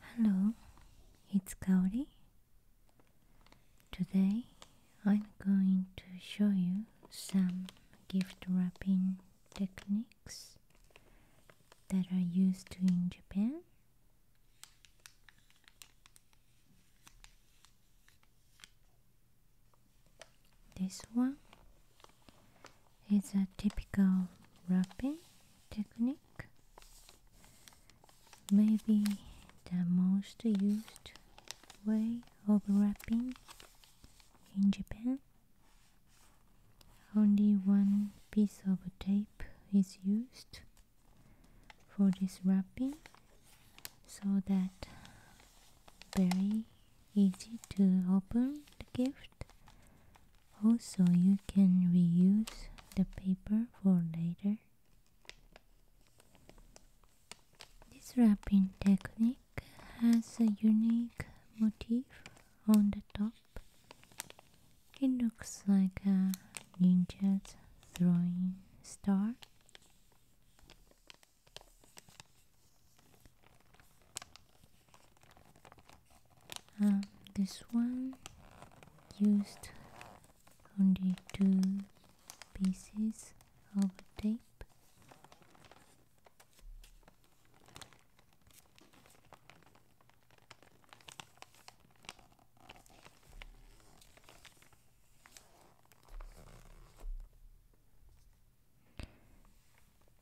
Hello, it's Kaori. Today I'm going to show you some gift wrapping techniques that are used in Japan. This one it's a typical wrapping technique maybe the most used way of wrapping in Japan only one piece of tape is used for this wrapping so that very easy to open the gift also, you can reuse the paper for later. This wrapping technique has a unique motif on the top. It looks like a ninja throwing star. Uh, this one used only two pieces of tape.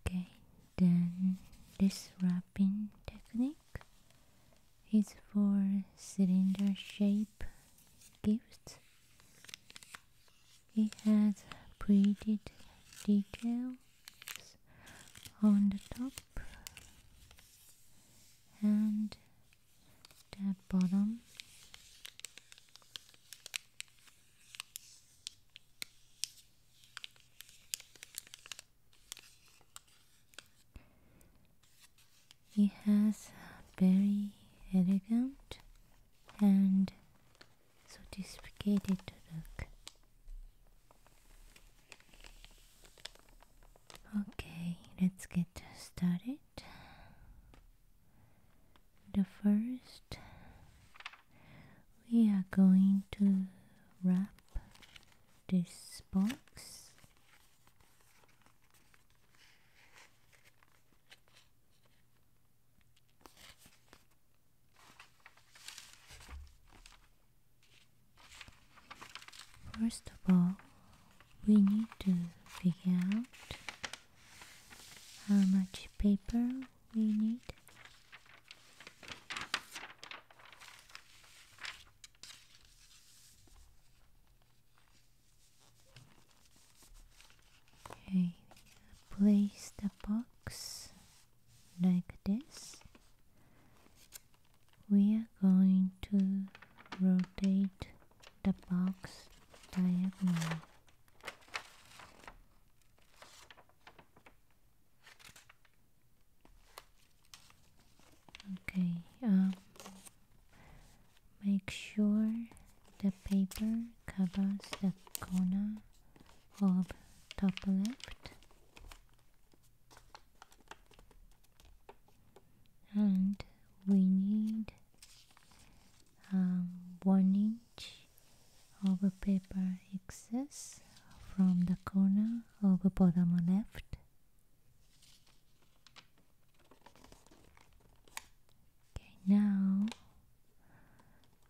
Okay, then this wrapping technique is for cylinder shape gifts. It has printed details on the top and the bottom. It has a very elegant and sophisticated look. Okay, let's get started. The first we are going to wrap this box First of all, we need to figure out how much paper we need Okay, place the box like this. We are going to rotate the box diagonally. Okay, um, make sure the paper covers the corner of top left and we need um, one inch of paper excess from the corner over the bottom left. Okay, now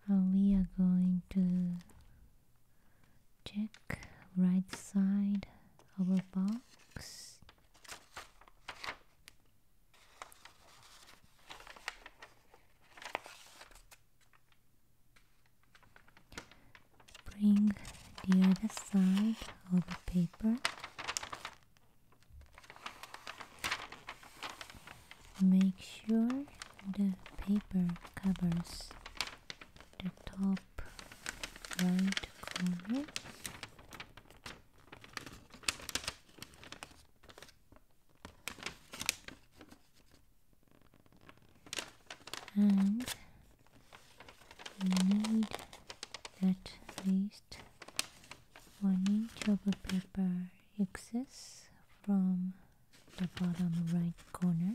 we are going to check right side of a box. Bring the other side of the paper. Make sure the paper covers the top right corner and we need at least one inch of a paper excess from the bottom right corner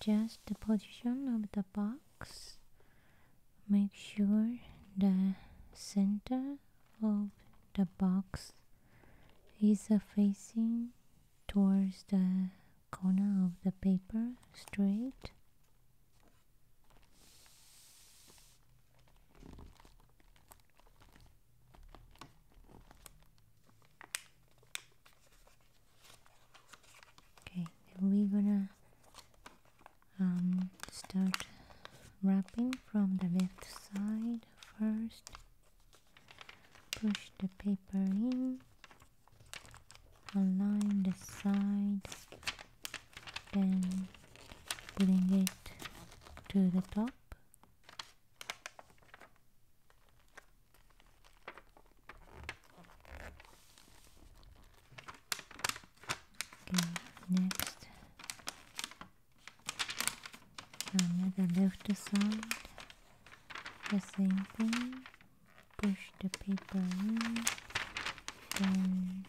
adjust the position of the box make sure the center of the box is facing towards the corner of the paper straight Okay, we're gonna um, start wrapping from the left side first. Push the paper in, align the sides then bring it to the top okay next another left side the same thing push the paper then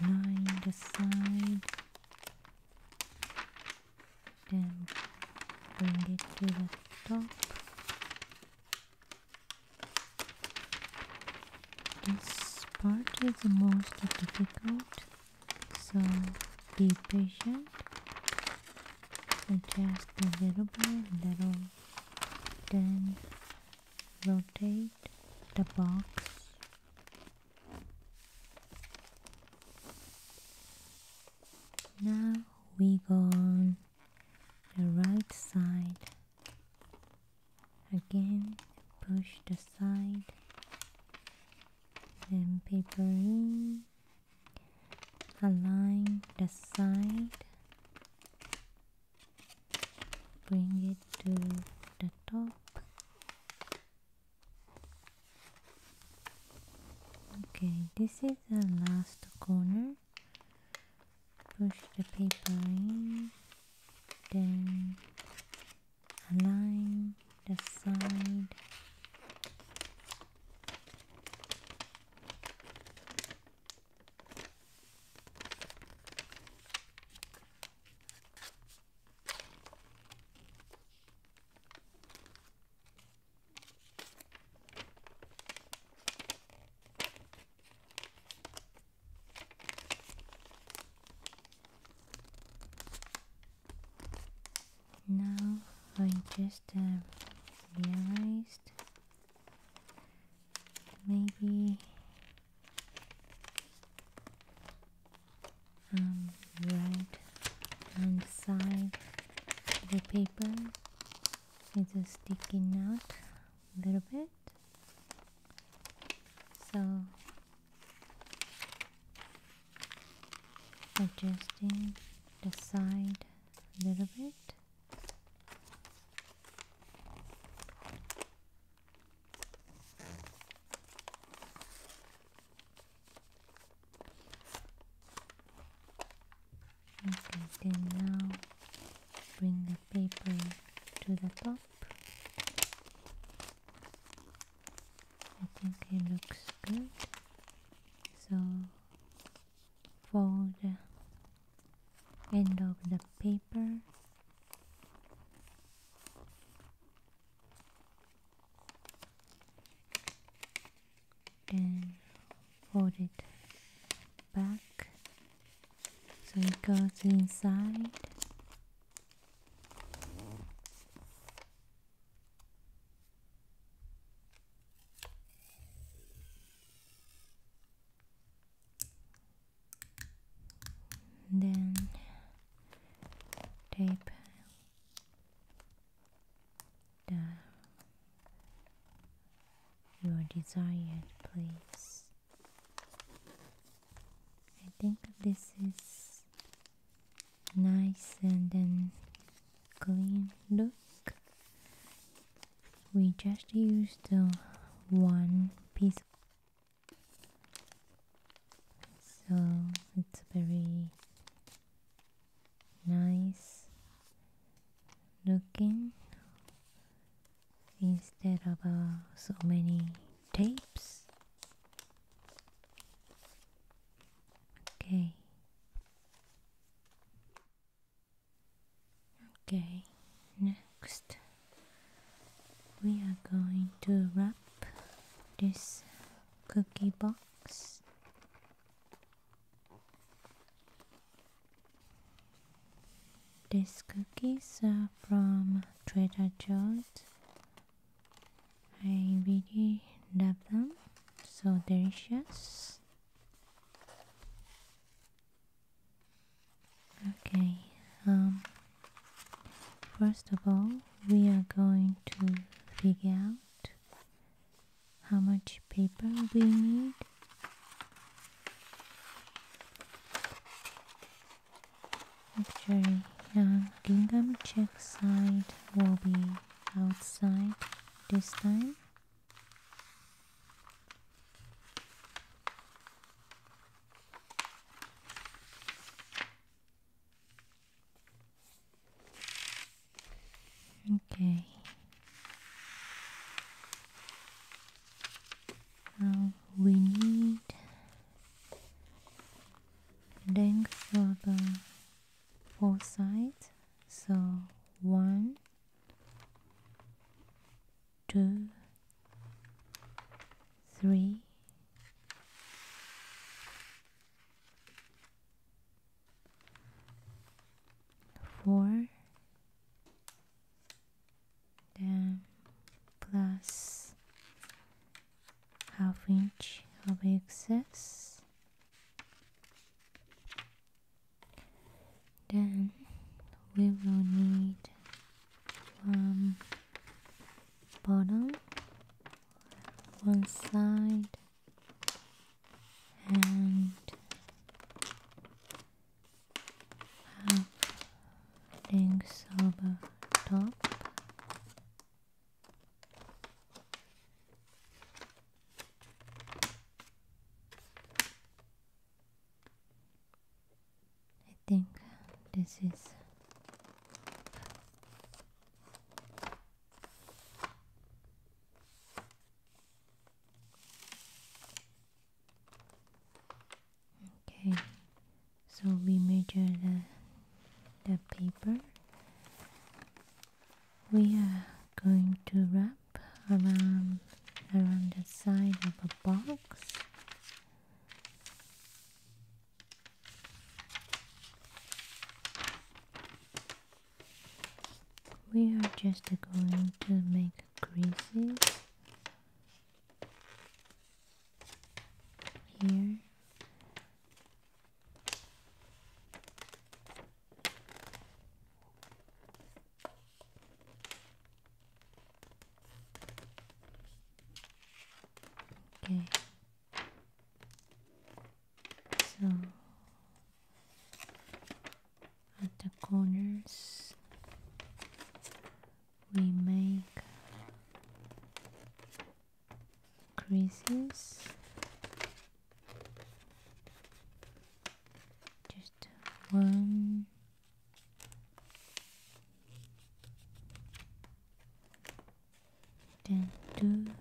line the side then bring it to the top this part is the most difficult so be patient adjust a little by little then rotate the box now we go on the right side again push the side and paper in align the side bring it to the top okay this is the last corner push the paper in then align the side now I just uh, realized maybe um, right hand side the paper is sticking out a little bit so adjusting the side a little bit Okay, then now bring the paper to the top. I think it looks good. So fold end of the paper and fold it back so it goes inside then tape the your desired place. I think this is nice and then clean look. We just used the one piece so it's very nice looking instead of uh, so many tapes. Okay. Okay, next we are going to wrap this cookie box these cookies are from Trader Joe's I really love them so delicious Okay, um, first of all, we are going to figure out how much paper we need. Actually, uh, gingham check side will be outside this time. Okay. Now we need length for the four sides. So one, two, three, four, then plus half inch of excess, then we will need from um, bottom one side and have things over top I think this is okay so we measure the the paper we are going to wrap around around the side of a box we are just going to make creases here. Okay. So at the corners we make creases just one Dun,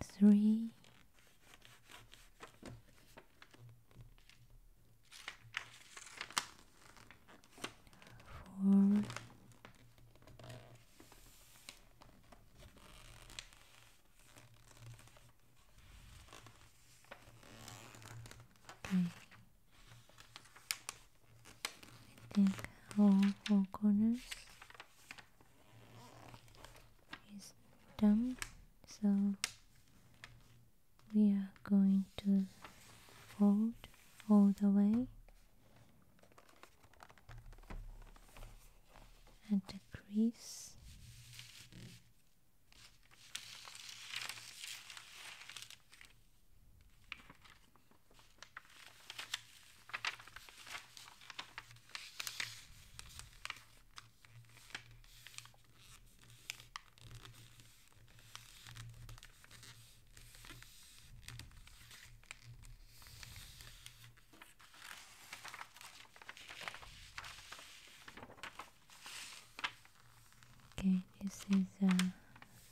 Three. I think all four corners is done, so we are going to fold all the way and the crease Okay, this is the uh,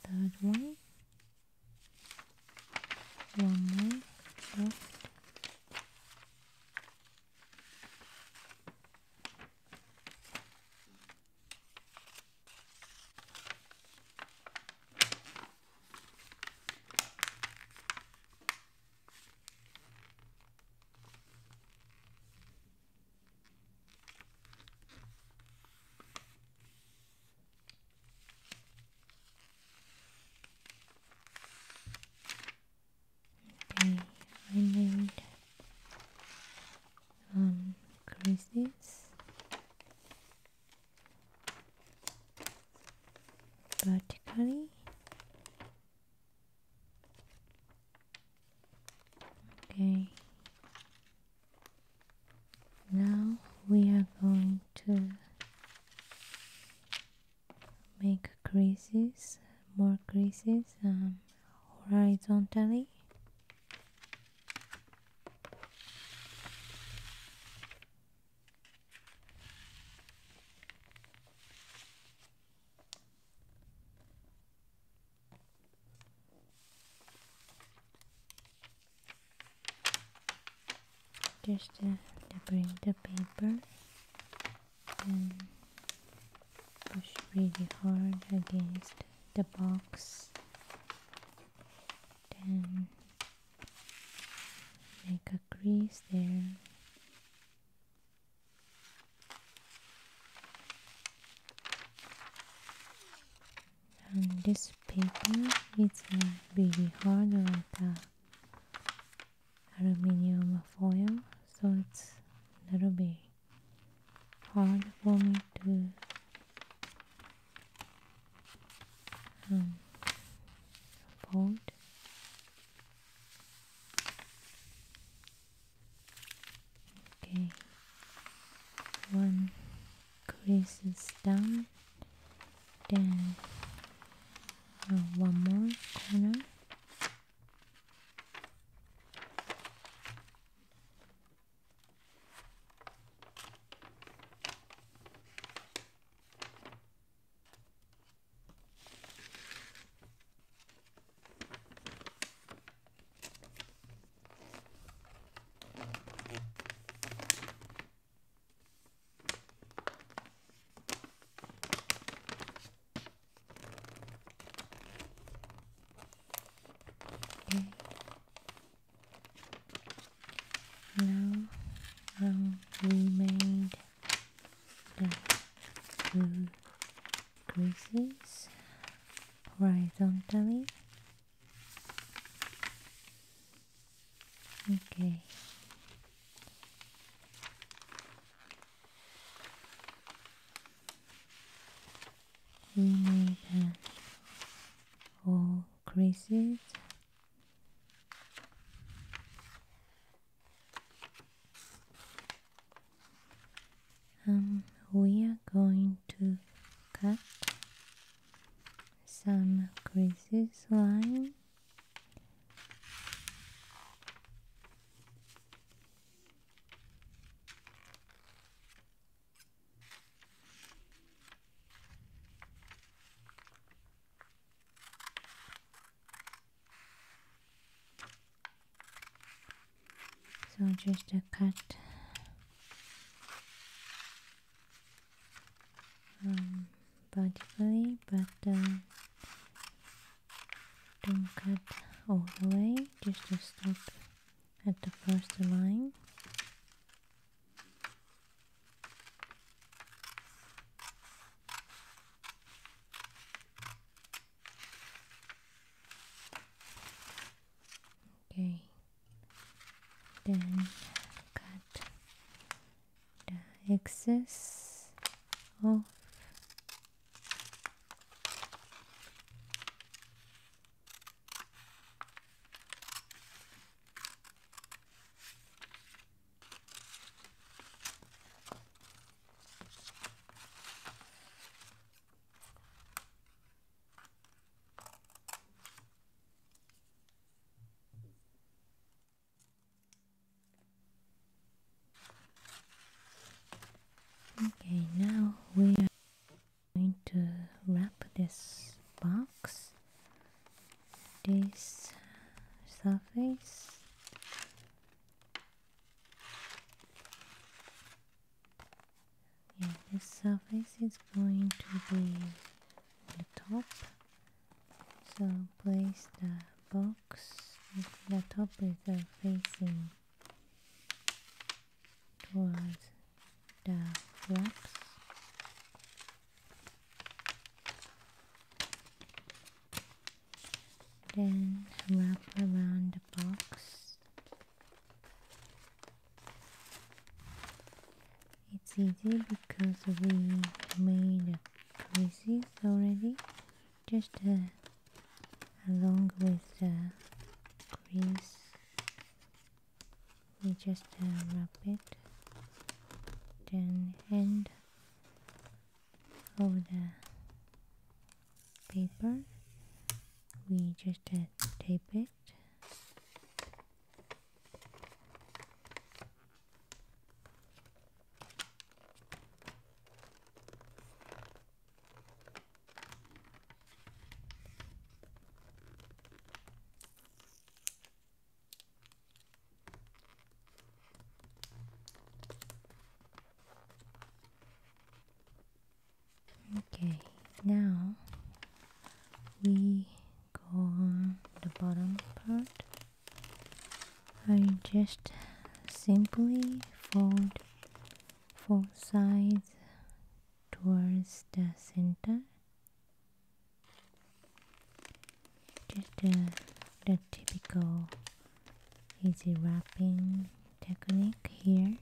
third one. One more left. Okay, I made um creases vertically okay now we are going to make creases more creases um, horizontally just uh, bring the paper and push really hard against the box then Make a crease there. And this paper it's a really hard like uh, aluminum foil so it's a little bit hard for me to um, fold Okay, one crease is done, then uh, one more corner. Okay. Now we made blue creases horizontally. Okay. We made uh, all creases um, we are going to cut some creases line so just a cut um, vertically but uh, don't cut all the way just to stop at the first line Okay, then cut the excess off. Okay, now we are going to wrap this box, this surface yeah, this surface is going to be the top. So place the box, with the top with the facing towards the flaps then wrap around the box it's easy because we made crease already just uh, along with the crease we just uh, wrap it then end over the paper we just uh, tape it Okay, now we go on the bottom part. I just simply fold four sides towards the center just the, uh, the typical easy wrapping technique here.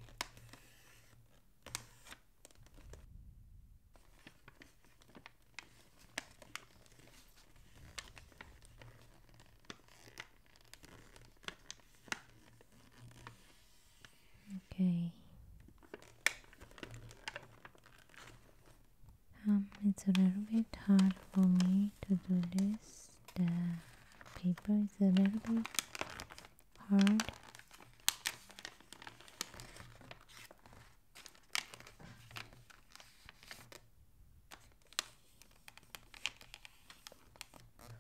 Okay. Um, it's a little bit hard for me to do this. The paper is a little bit hard.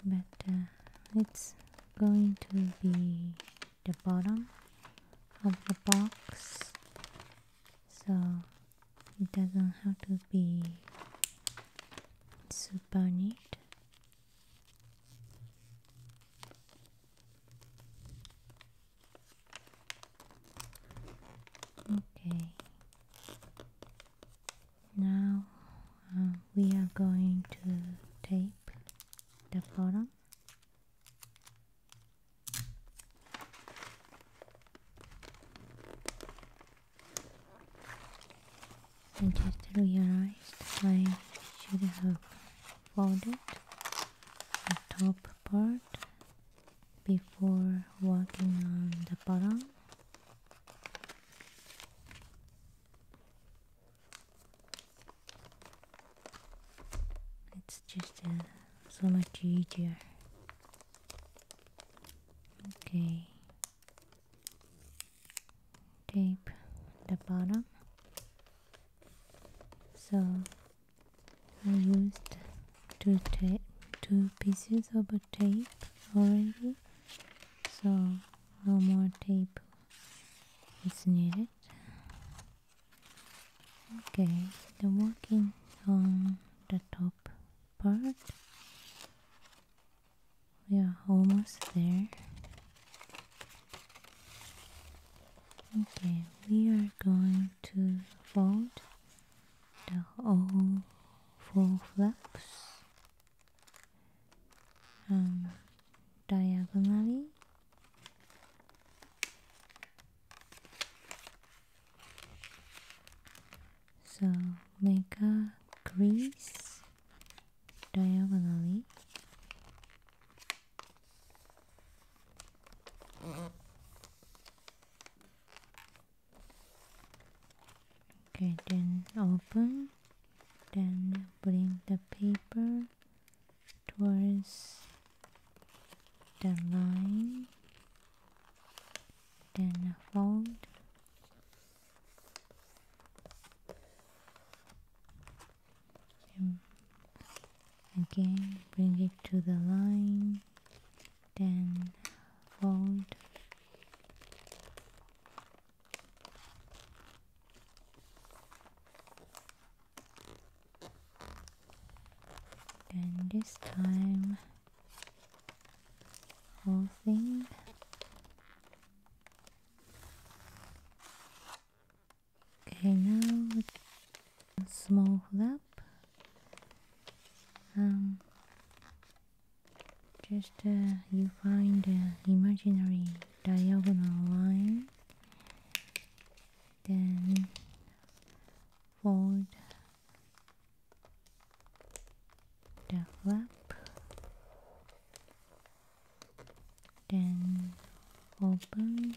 But uh, it's going to be the bottom of the box so it doesn't have to be super neat okay now uh, we are going to tape the bottom I just realized I should have folded the top part before walking on the bottom it's just uh, so much easier Okay. Tape the bottom. So I used two tape, two pieces of tape already. So no more tape is needed. Okay, the working on the top part. We are almost there. Okay, we are going to fold the whole four flaps um, diagonally so make a crease diagonally. Okay, then open, then bring the paper towards the line then fold and again bring it to the line then fold then this time whole thing. Okay, now small us Um, just uh, you find an imaginary diagonal line, then fold develop then open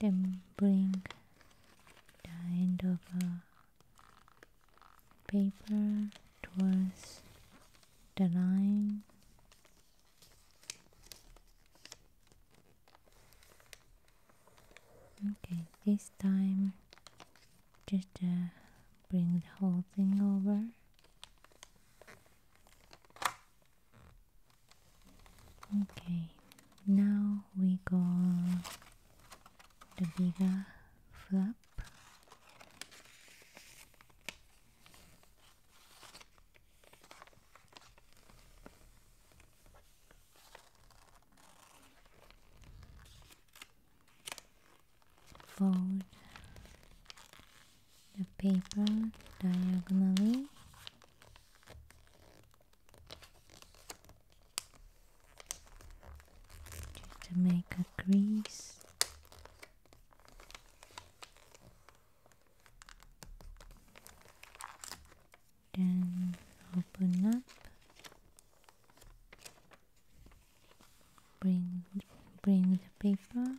then bring the end of a paper towards the line okay this time just bring the whole thing over okay now we go the bigger flap fold the paper diagonally just to make a crease then open up Bring bring the paper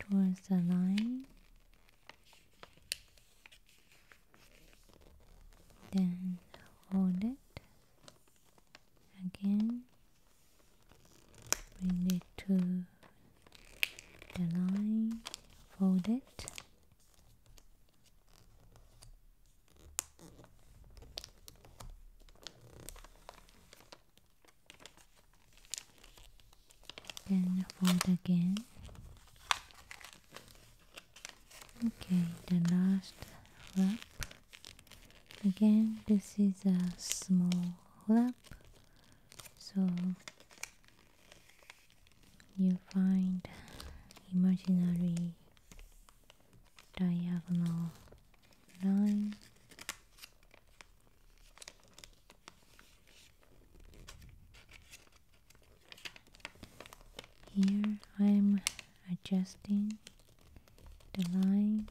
towards the line. Then hold it again. Bring it to the line, fold it then fold again. Okay, the last flap. Again, this is a small flap, so you find imaginary diagonal line here I'm adjusting the line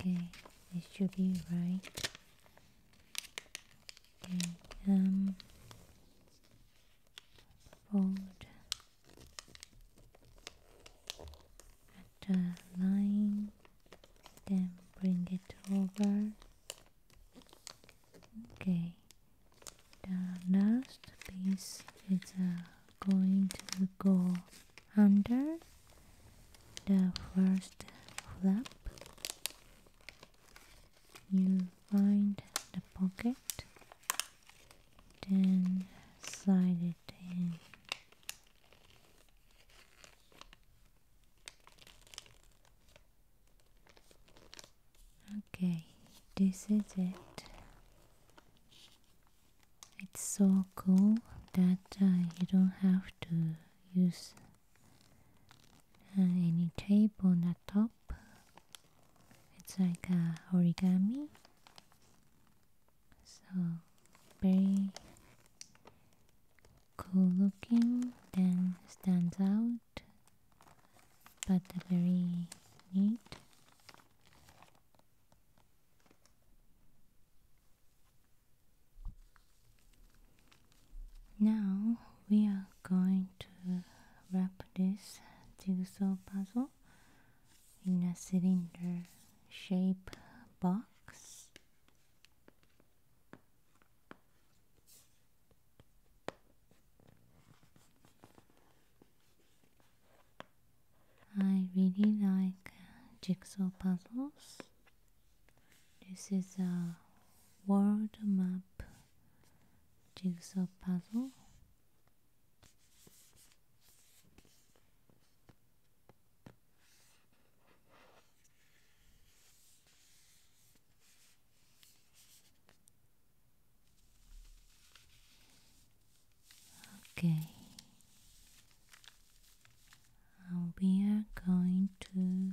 okay it should be right the fold at the line, then bring it over. Okay, the last piece is uh, going to go under the first flap you find the pocket then slide it in okay this is it it's so cool that uh, you don't have to use uh, any tape on the top it's like a origami so very cool looking then stands out but very neat now we are going to wrap this jigsaw puzzle in a cylinder shape box. I really like jigsaw puzzles. This is a world map jigsaw puzzle. Okay, we are going to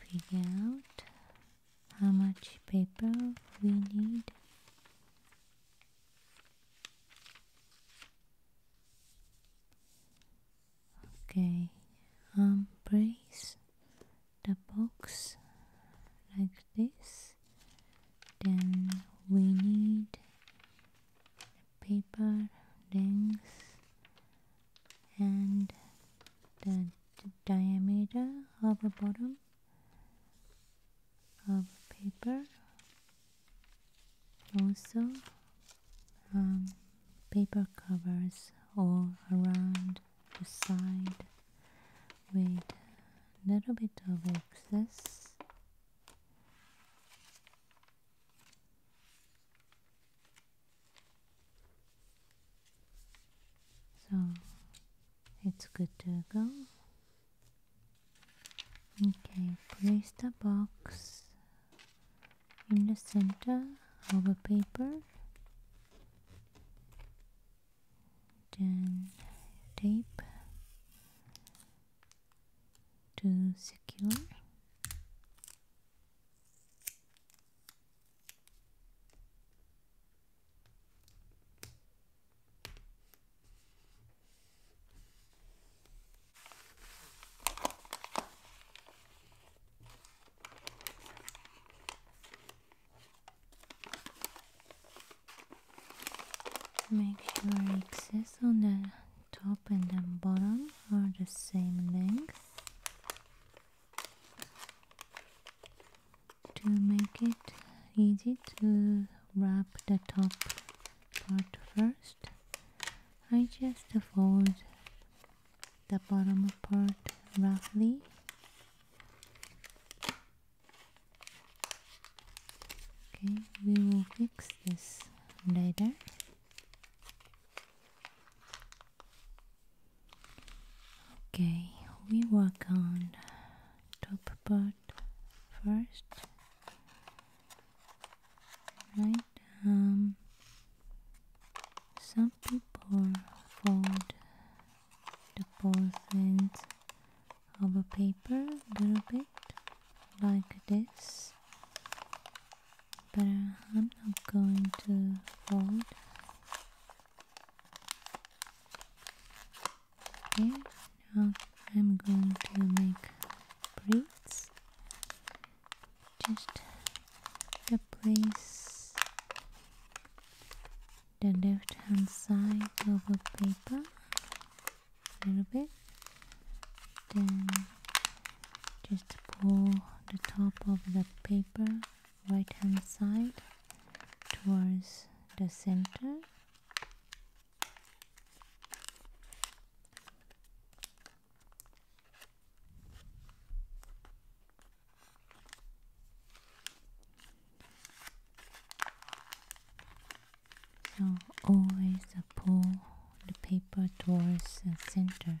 figure out how much paper we need okay um place the box like this then we need paper things, and the diameter of the bottom of paper also um, paper covers all around the side with little bit of excess so it's good to go. Okay, place the box in the center of the paper. Then tape to secure Make sure excess on the top and the bottom are the same length to make it easy to wrap the top part first I just fold the bottom part roughly okay we will fix this later Okay, we work on top part first. Right, um, some people fold the both ends of a paper a little bit like this, but I'm not going to fold Okay, now I'm going to make pleats. Just replace the left hand side of the paper a little bit. Then just pull the top of the paper right hand side towards the center so always pull the paper towards the center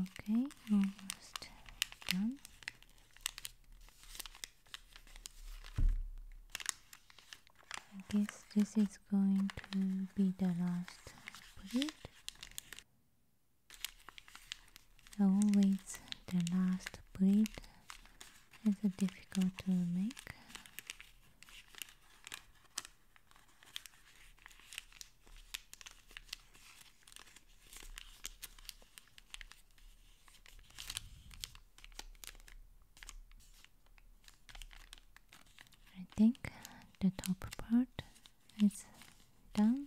Okay, almost done. I guess this is going to be the last bullet. Always the last bullet is difficult to make. I think the top part is done.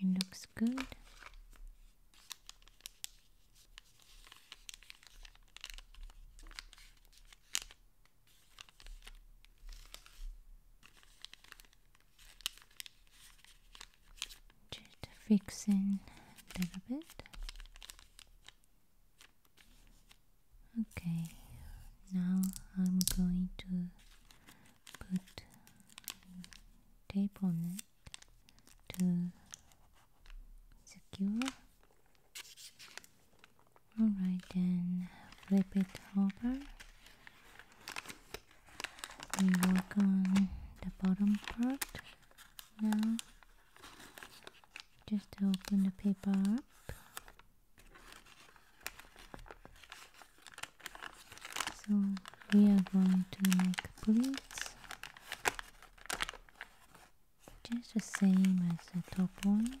It looks good. Just fixing a little bit. Okay, now I'm going to put tape on it to secure Alright, then flip it over we work on the bottom part now just open the paper up so we are going to make pleats just the same as the top one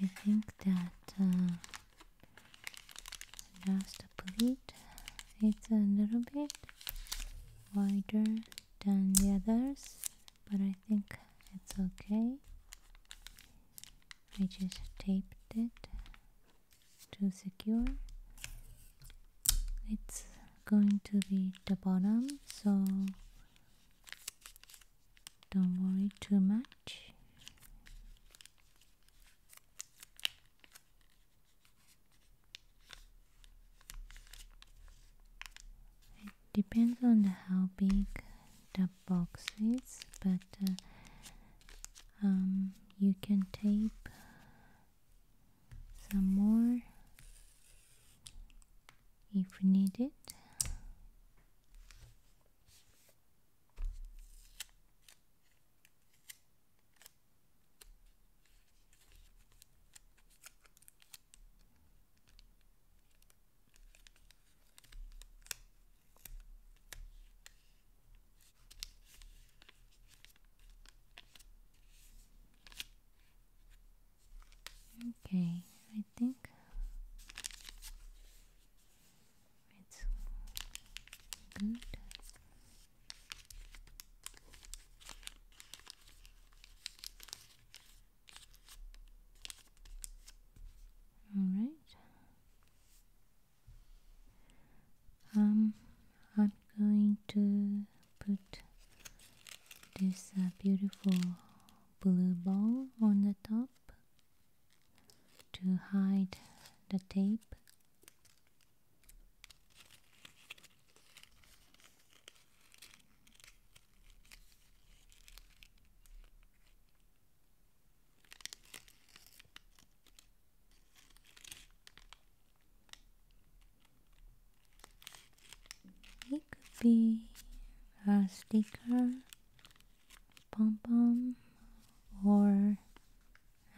I think that just a plate it's a little bit wider than the others, but I think it's okay. I just taped it to secure. It's going to be the bottom, so don't worry too much. It depends on how big the box is, but uh, um, you can tape some more if needed. Okay, I think it's good. All right. Um, I'm going to put this uh, beautiful blue ball on the top to hide the tape. It could be a sticker, pom pom, or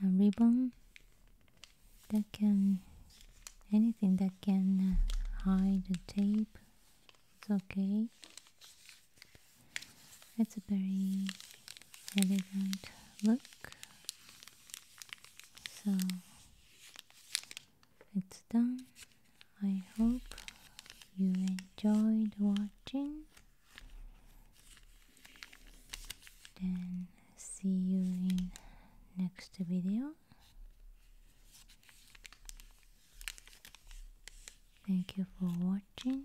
a ribbon that can anything that can hide the tape it's okay it's a very elegant look so it's done. I hope you enjoyed watching. Then see you in next video. Thank you for watching.